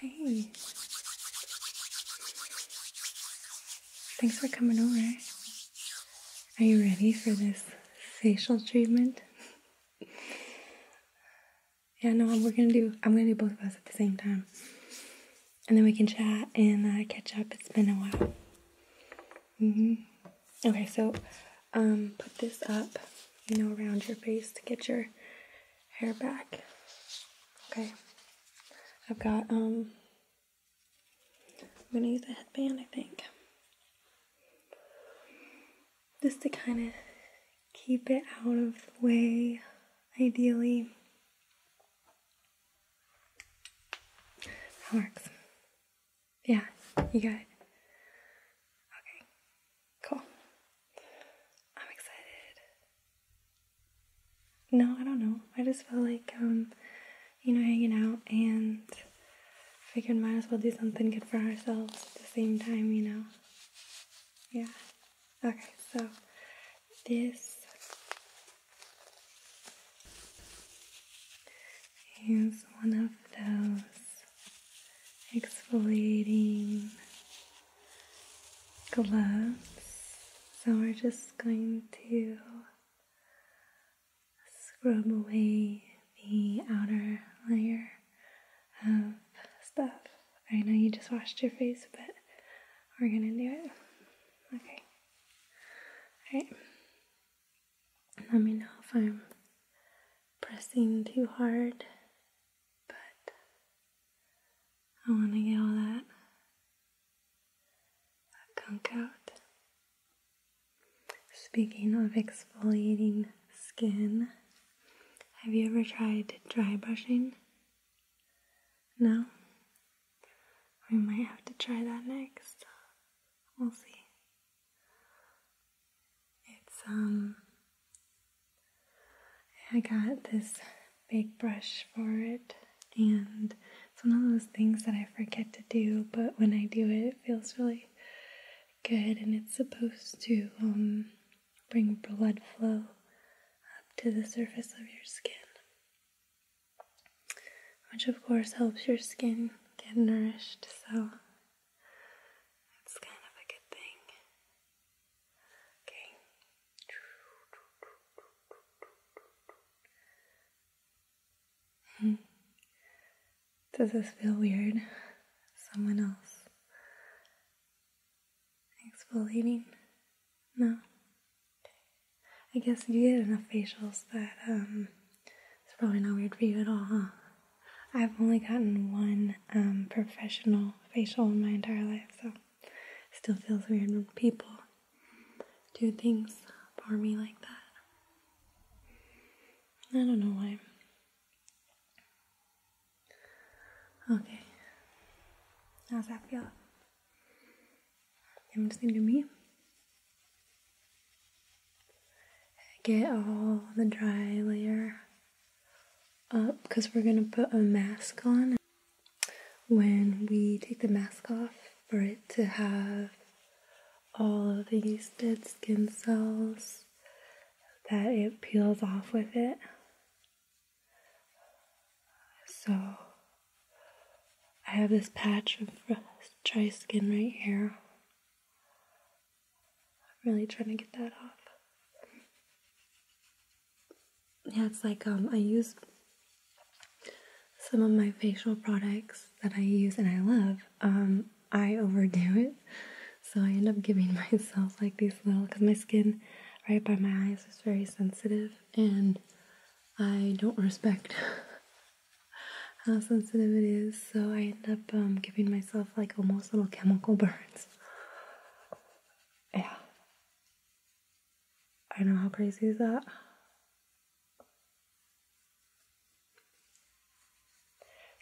Hey. Thanks for coming over. Are you ready for this facial treatment? yeah, no, we're gonna do. I'm gonna do both of us at the same time, and then we can chat and uh, catch up. It's been a while. Mhm. Okay, so um, put this up, you know, around your face to get your hair back. Okay. I've got, um, I'm gonna use a headband, I think. Just to kind of keep it out of the way, ideally. That works. Yeah, you got it. Okay. Cool. I'm excited. No, I don't know. I just felt like, um, you know, hanging out and figured might as well do something good for ourselves at the same time, you know? Yeah. Okay, so this is one of those exfoliating gloves. So we're just going to scrub away the outer layer of stuff. I know you just washed your face, but we're gonna do it. Okay. Alright. Let me know if I'm pressing too hard, but I want to get all that, that gunk out. Speaking of exfoliating skin, have you ever tried dry brushing? No? We might have to try that next. We'll see. It's um I got this big brush for it, and it's one of those things that I forget to do, but when I do it, it feels really good, and it's supposed to um, bring blood flow up to the surface of your skin, which of course helps your skin get nourished, so it's kind of a good thing. Okay. Does this feel weird? Someone else exfoliating? No. I guess you get enough facials that um, it's probably not weird for you at all, huh? I've only gotten one um, professional facial in my entire life, so still feels weird when people do things for me like that. I don't know why. Okay. How's that feel? I'm just gonna do me. Get all the dry layer because we're going to put a mask on. When we take the mask off, for it to have all of the dead skin cells, that it peels off with it. So I have this patch of dry skin right here. I'm really trying to get that off. Yeah, it's like um, I use some of my facial products that I use and I love. Um, I overdo it, so I end up giving myself like these little because my skin right by my eyes is very sensitive and I don't respect how sensitive it is, so I end up um, giving myself like almost little chemical burns yeah. I know how crazy is that.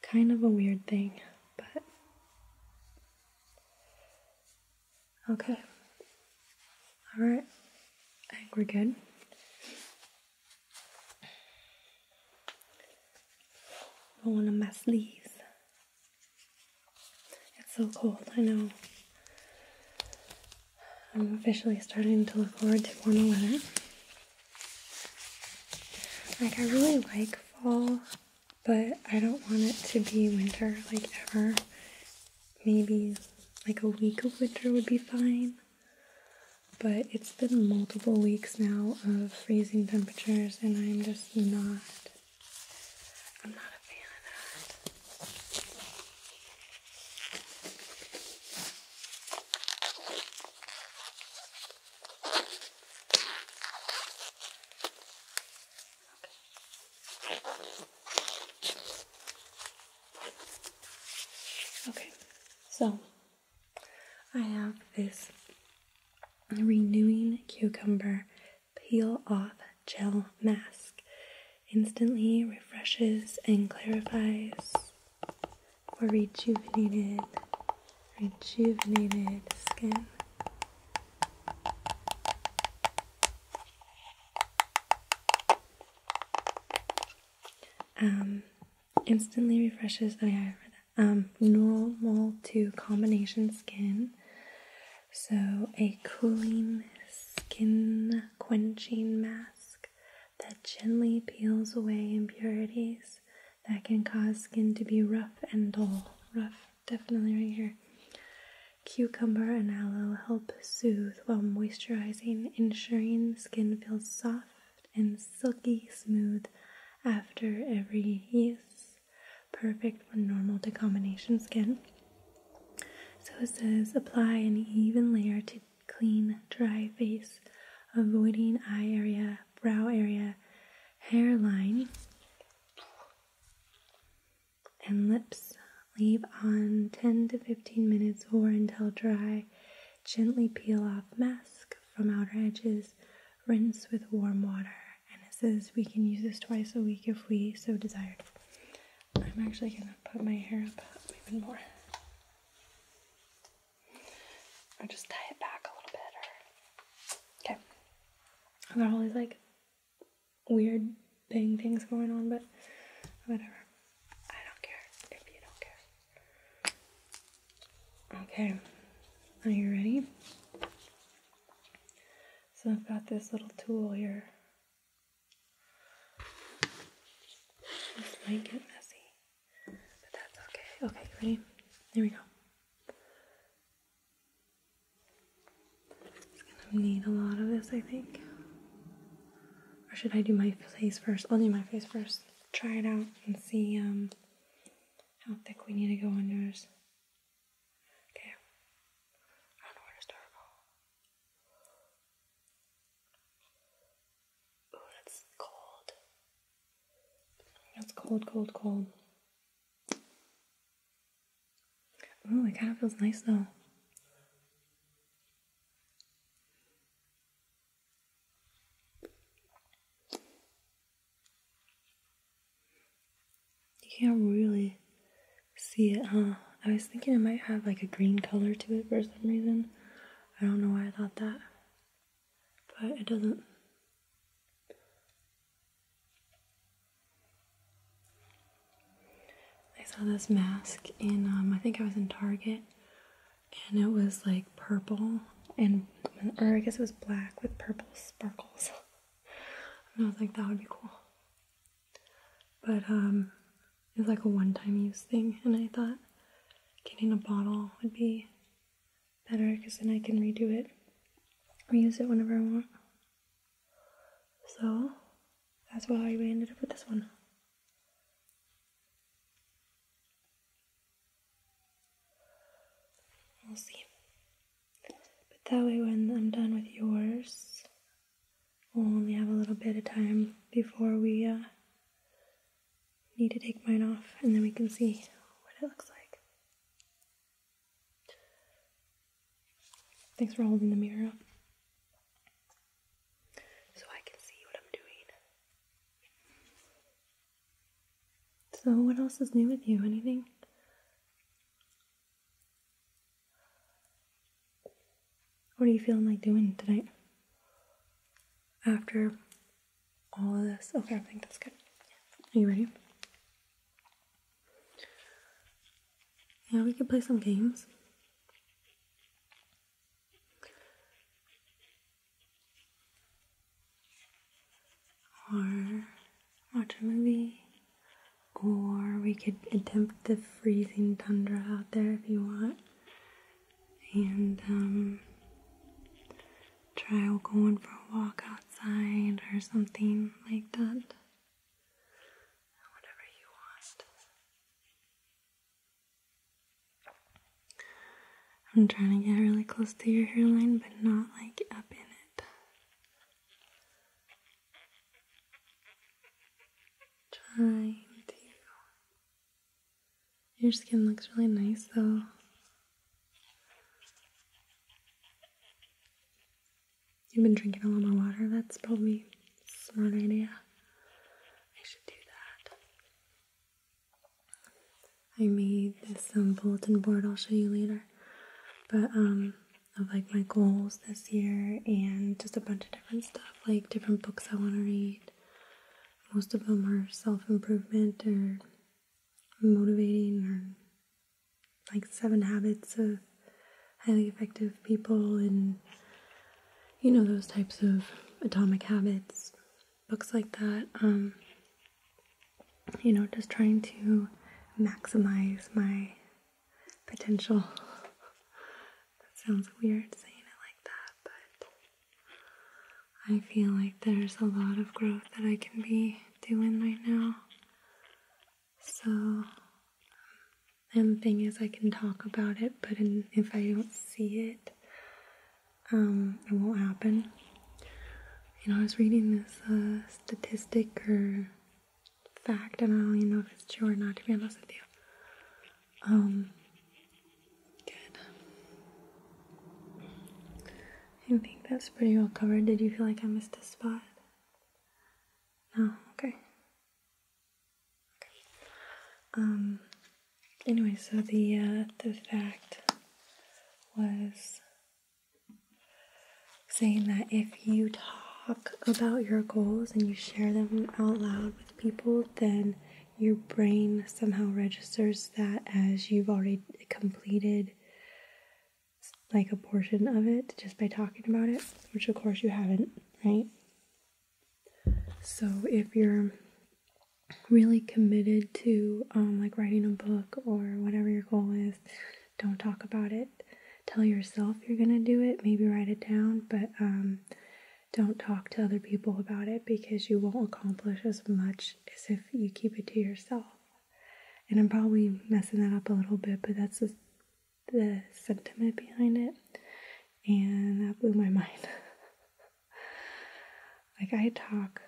Kind of a weird thing, but okay. All right, I think we're good. Rolling up my sleeves. It's so cold, I know. I'm officially starting to look forward to warmer weather. Like, I really like fall, but I don't want it to be winter, like, ever. Maybe like a week of winter would be fine. But it's been multiple weeks now of freezing temperatures, and I'm just not I'm not a fan of that. Okay. so I have this Renewing Cucumber Peel Off Gel Mask. Instantly refreshes and clarifies for rejuvenated, rejuvenated skin. Um, instantly refreshes. Oh yeah, I read um, normal to combination skin. So, a cooling skin quenching mask that gently peels away impurities that can cause skin to be rough and dull. Rough, definitely right here. Cucumber and aloe help soothe while moisturizing, ensuring skin feels soft and silky smooth after every use perfect for normal to combination skin. So it says apply an even layer to clean, dry face, avoiding eye area, brow area, hairline, and lips. Leave on 10 to 15 minutes or until dry. Gently peel off mask from outer edges rinse with warm water. And it says we can use this twice a week if we so desired. I'm actually gonna put my hair up even more. Or just tie it back a little bit okay. I've all these like weird thing things going on, but whatever. I don't care if you don't care. Okay. Are you ready? So I've got this little tool here. This might get messy, but that's okay. Okay, ready? Here we go. It's gonna need a lot of this, I think. Or should I do my face first? I'll do my face first. Try it out and see um, how thick we need to go on yours. Okay. I don't to start. Oh, that's cold. That's cold, cold, cold. Ooh, it kind of feels nice though. You can't really see it, huh? I was thinking it might have like a green color to it for some reason. I don't know why I thought that. But it doesn't. I saw this mask in, um, I think I was in Target, and it was like purple and, or I guess it was black with purple sparkles. And I was like, that would be cool. But um, it was like a one time use thing, and I thought getting a bottle would be better because then I can redo it, or use it whenever I want. So that's why we ended up with this one. We'll see. But that way, when I'm done with yours, we'll only have a little bit of time before we uh, need to take mine off, and then we can see what it looks like. Thanks for holding the mirror up. So I can see what I'm doing. So, what else is new with you? Anything? What are you feeling like doing tonight? After all of this? Okay, I think that's good. Are you ready? Yeah, we could play some games or watch a movie, or we could attempt the freezing tundra out there if you want, and um, try going for a walk outside or something like that. Whatever you want. I'm trying to get really close to your hairline, but not like up in it. Trying to. Your skin looks really nice though. You've been drinking a lot more water. That's probably smart idea. I should do that. I made this um, bulletin board I'll show you later, but um, of like my goals this year and just a bunch of different stuff, like different books I want to read. Most of them are self improvement or motivating or like seven habits of highly effective people and you know those types of atomic habits books like that. Um, you know, just trying to maximize my potential. that sounds weird saying it like that, but I feel like there's a lot of growth that I can be doing right now. So, um, and the thing is, I can talk about it, but if I don't see it, um, it won't happen. You know, I was reading this uh, statistic or fact, and I don't even know if it's true or not, to be honest with you. Um, good. I think that's pretty well covered. Did you feel like I missed a spot? No? Okay. Okay. Um, anyway, so the, uh, the fact was saying that if you talk about your goals and you share them out loud with people, then your brain somehow registers that as you've already completed like a portion of it just by talking about it, which of course you haven't, right? So if you're really committed to um, like writing a book or whatever your goal is, don't talk about it. Tell yourself you're gonna do it. Maybe write it down, but um, don't talk to other people about it because you won't accomplish as much as if you keep it to yourself. And I'm probably messing that up a little bit, but that's the, the sentiment behind it. And that blew my mind. like, I talk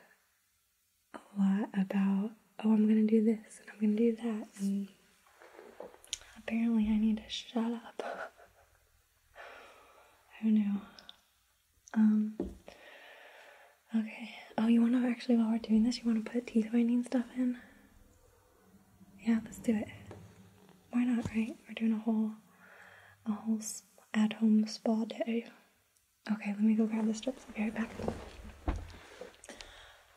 a lot about, oh, I'm gonna do this and I'm gonna do that, and apparently I need to shut up. Who knew? Um, okay. Oh, you wanna actually, while we're doing this, you wanna put teeth whitening stuff in? Yeah, let's do it. Why not, right? We're doing a whole, a whole at home spa day. Okay, let me go grab the strips. be right back.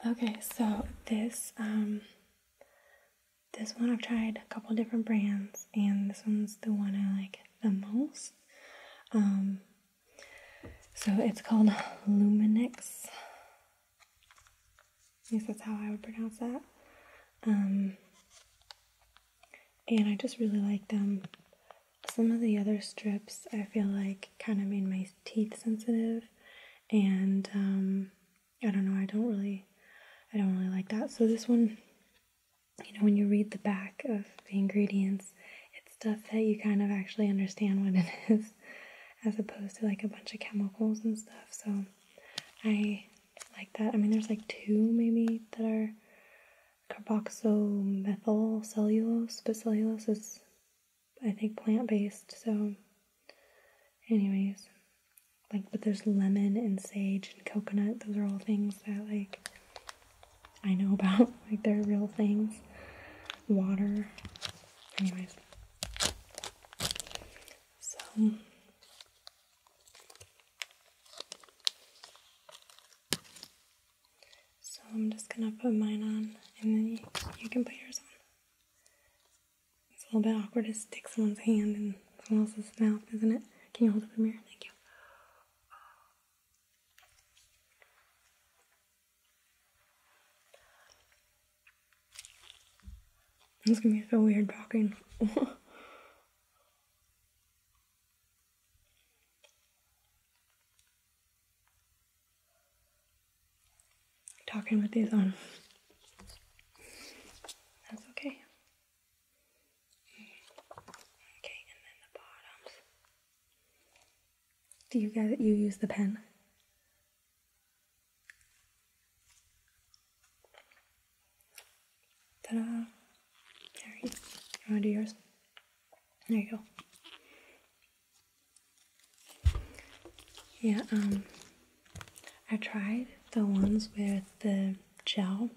Okay, so this um this one I've tried a couple different brands and this one's the one I like the most. Um so it's called Luminex. I guess that's how I would pronounce that. Um and I just really like them. Some of the other strips I feel like kind of made my teeth sensitive, and um, I don't know. I don't really, I don't really like that. So this one, you know, when you read the back of the ingredients, it's stuff that you kind of actually understand what it is, as opposed to like a bunch of chemicals and stuff. So I like that. I mean, there's like two maybe that are carboxymethyl cellulose, but cellulose is, I think, plant based. So, anyways, like, but there's lemon and sage and coconut. Those are all things that, like, I know about. Like, they're real things. Water. Anyways. So. So I'm just gonna put mine on and then you, can put yours on. It's a little bit awkward to stick someone's hand in someone else's mouth, isn't it? Can you hold up the mirror? Thank you. It's gonna be so weird talking. talking with these on. That's okay. Okay, and then the bottoms. Do you guys you use the pen? Ta-da! you wanna do yours? There you go. Yeah, um, I tried the ones with the gel,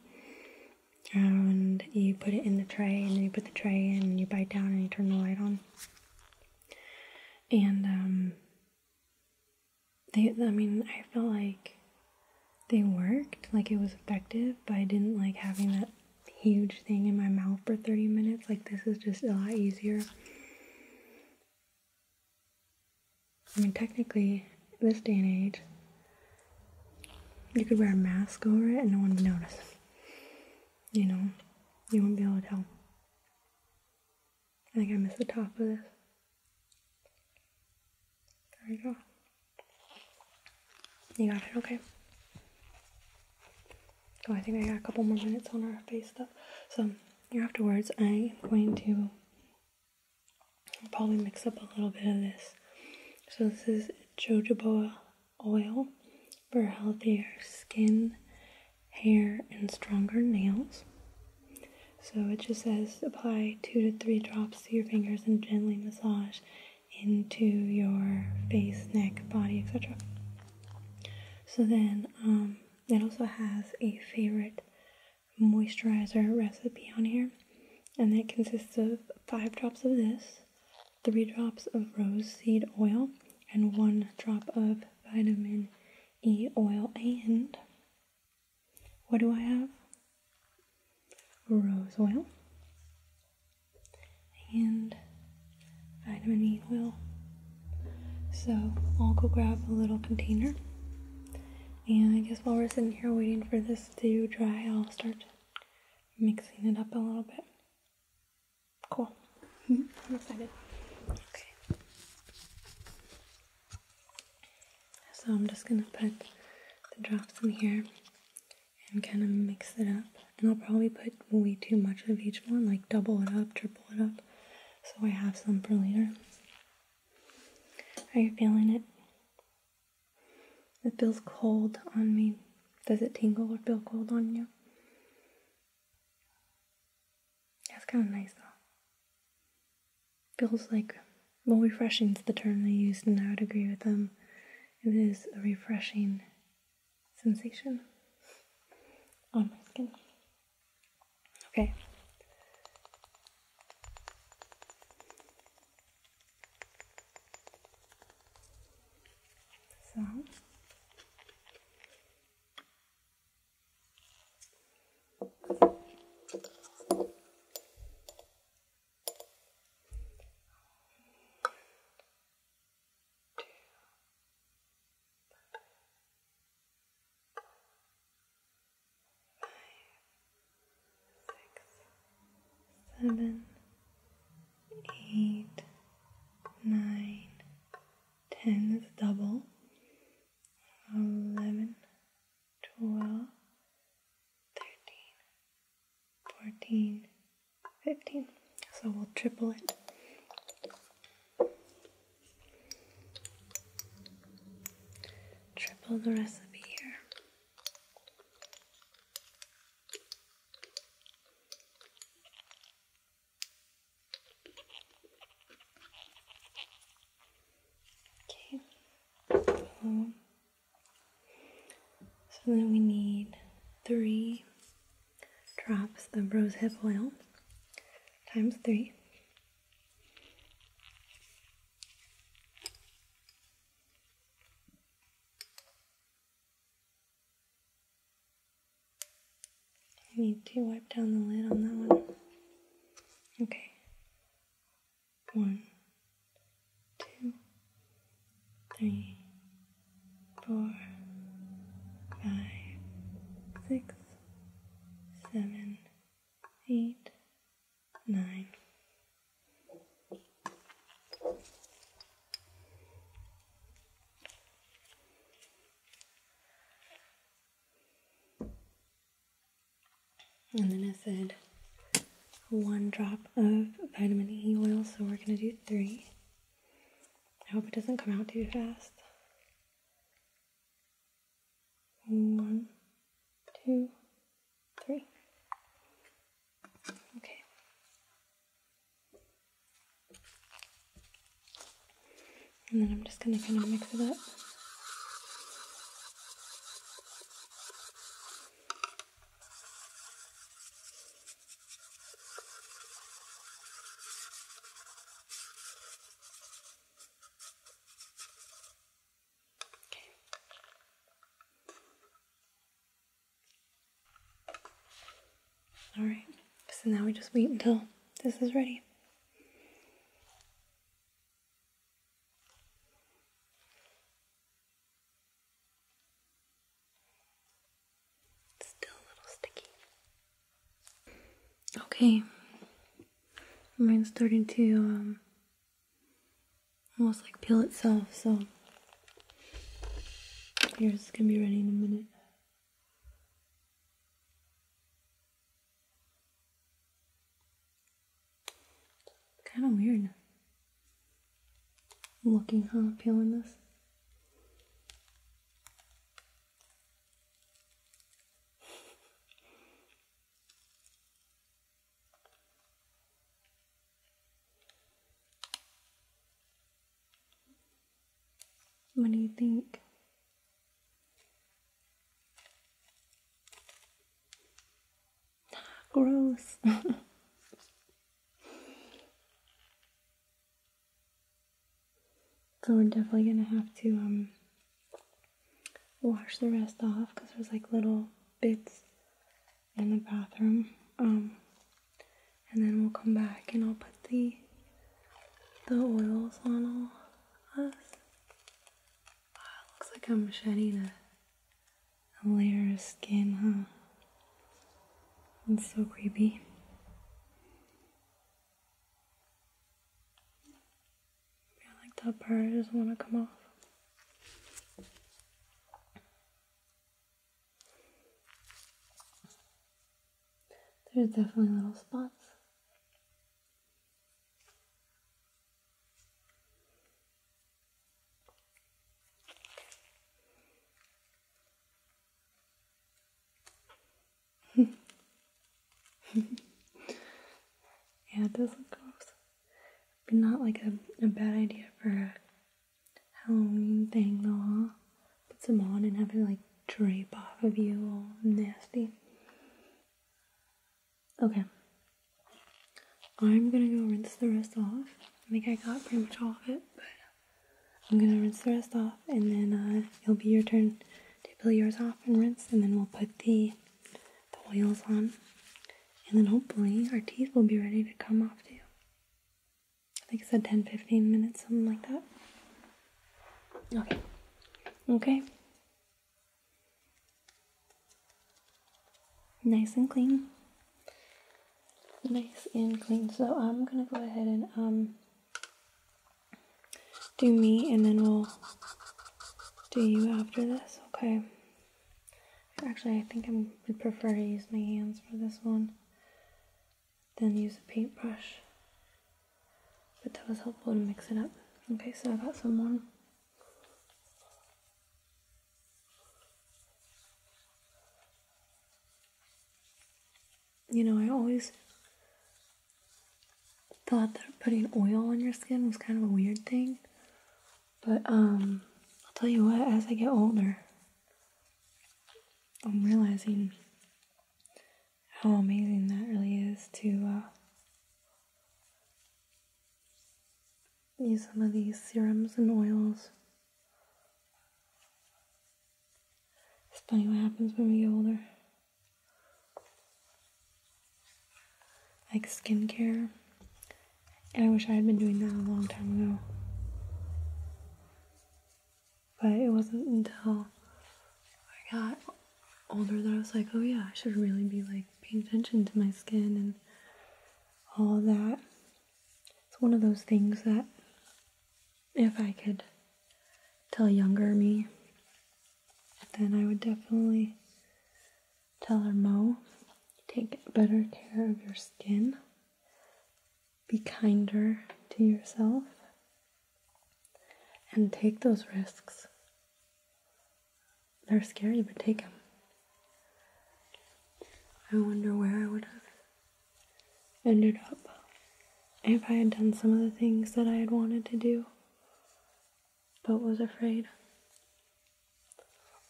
and you put it in the tray, and then you put the tray and you bite down, and you turn the light on. And um, they, I mean, I felt like they worked, like it was effective, but I didn't like having that huge thing in my mouth for 30 minutes. Like, this is just a lot easier. I mean, technically, this day and age, you could wear a mask over it and no one would notice. You know, you wouldn't be able to tell. I think I missed the top of this. There we go. You got it, okay. Oh, I think I got a couple more minutes on our face stuff. So afterwards, I'm going to probably mix up a little bit of this. So this is jojoba oil for healthier skin, hair, and stronger nails. So it just says apply two to three drops to your fingers and gently massage into your face, neck, body, etc. So then um, it also has a favorite moisturizer recipe on here, and that consists of five drops of this, three drops of rose seed oil, and one drop of vitamin E oil. And what do I have? rose oil and vitamin E oil. So I'll go grab a little container. And I guess while we're sitting here waiting for this to dry, I'll start mixing it up a little bit. Cool. Mm-hmm. I'm excited. Okay. So I'm just gonna put the drops in here and kind of mix it up. And I'll probably put way too much of each one, like double it up, triple it up, so I have some for later. Are you feeling it? It feels cold on me. Does it tingle or feel cold on you? That's kind of nice though. Feels like, more refreshing is the term they used, and I would agree with them. It is a refreshing sensation on my skin. Okay. So seven, eight, nine, ten is double, eleven, twelve, thirteen, fourteen, 15. So we'll triple it. Triple the recipe here. Okay. Um, so then we need three drops of rosehip oil times three. I need to wipe down the lid on that one. Okay. One, two, three, four, five, six, seven, eight, nine. And then I said one drop of vitamin E oil, so we're gonna do three. I hope it doesn't come out too fast. One, two, three. Okay. And then I'm just gonna kind of mix it up. Okay. All right. So now we just wait until this is ready. It's still a little sticky. Okay. Mine's starting to um, almost like peel itself, so yours gonna be ready in a minute. Kind of weird. I'm looking huh, peeling this. What do you think? Gross. so we're definitely gonna have to um wash the rest off because there's like little bits in the bathroom. Um, and then we'll come back and I'll put the the oils on all us. Ah, looks like I'm shedding a a layer of skin, huh? It's so creepy. I like that part doesn't want to come off. There's definitely little spots. yeah, it does look gross. Be not like a, bad idea for a Halloween thing though. Put some on and have it like drape off of you all nasty. Okay. I'm gonna go rinse the rest off. I think I got pretty much all of it, but I'm gonna rinse the rest off and then uh, it'll be your turn to peel yours off and rinse and then we'll put the, the oils on. And then hopefully our teeth will be ready to come off too. I think it said 10 15 minutes, something like that. Okay. Okay nice and clean nice and clean so i'm gonna go ahead and um do me and then we'll do you after this okay actually i think i would prefer to use my hands for this one than use a paintbrush but that was helpful to mix it up okay so i got someone you know, I always thought that putting oil on your skin was kind of a weird thing. But, um, I'll tell you what, as I get older, I'm realizing how amazing that really is to, uh, use some of these serums and oils. It's funny what happens when we get older. Like skincare. And I wish I had been doing that a long time ago. But it wasn't until I got older that I was like, oh yeah, I should really be like paying attention to my skin and all that. It's one of those things that if I could tell younger me, then I would definitely tell her, Mo, take better care of your skin, be kinder to yourself, and take those risks. They're scary, but take them. I wonder where I would have ended up if I had done some of the things that I had wanted to do but was afraid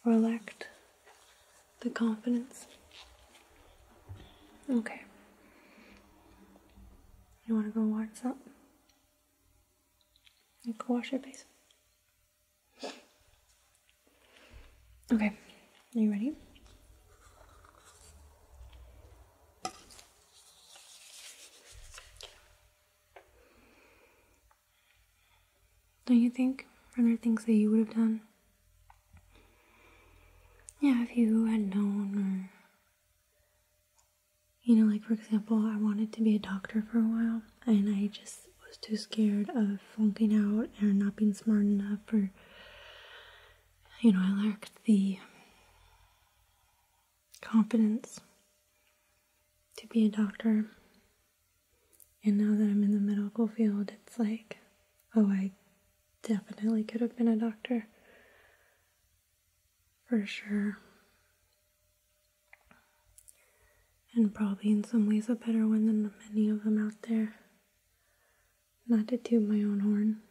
or lacked the confidence. Okay. You want to go wash up? something? go wash your face. Okay, are you ready? Don't you think? Are there things that you would have done? Yeah, if you had known, or. You know, like for example, I wanted to be a doctor for a while and I just was too scared of flunking out and not being smart enough or you know, I lacked the confidence to be a doctor. And now that I'm in the medical field, it's like, oh, I definitely could have been a doctor. For sure and probably in some ways a better one than many of them out there. Not to toot my own horn,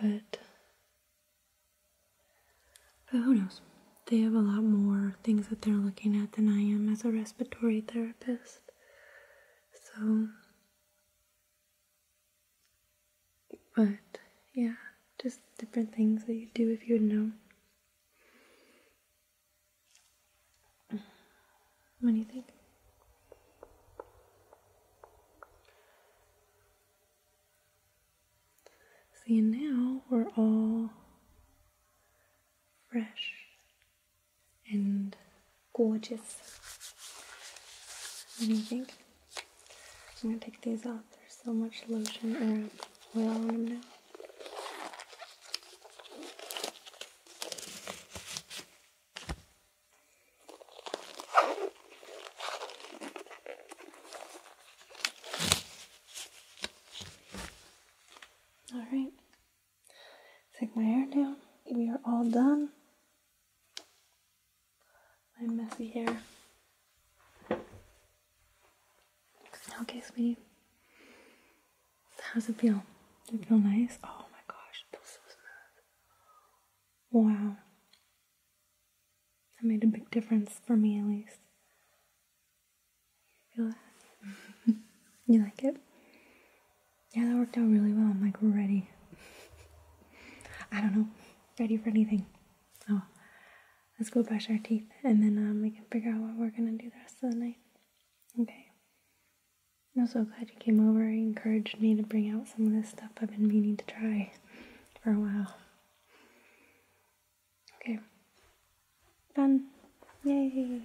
but but who knows? They have a lot more things that they're looking at than I am as a respiratory therapist. So, but yeah, just different things that you do if you would know. What do you think? See, now we're all fresh and gorgeous. What do you think? I'm gonna take these off. There's so much lotion or oil on them now. All right, take my hair down. We are all done. My messy hair. Okay, sweetie. How does it feel? Does it feel nice? Oh my gosh, it feels so smooth. Wow. That made a big difference for me at least. You feel that? you like it? Yeah, that worked out really well. I'm like ready. I don't know. Ready for anything. Oh. Let's go brush our teeth and then um, we can figure out what we're going to do the rest of the night. Okay. I'm so glad you came over. You encouraged me to bring out some of this stuff I've been meaning to try for a while. Okay. Done. Yay.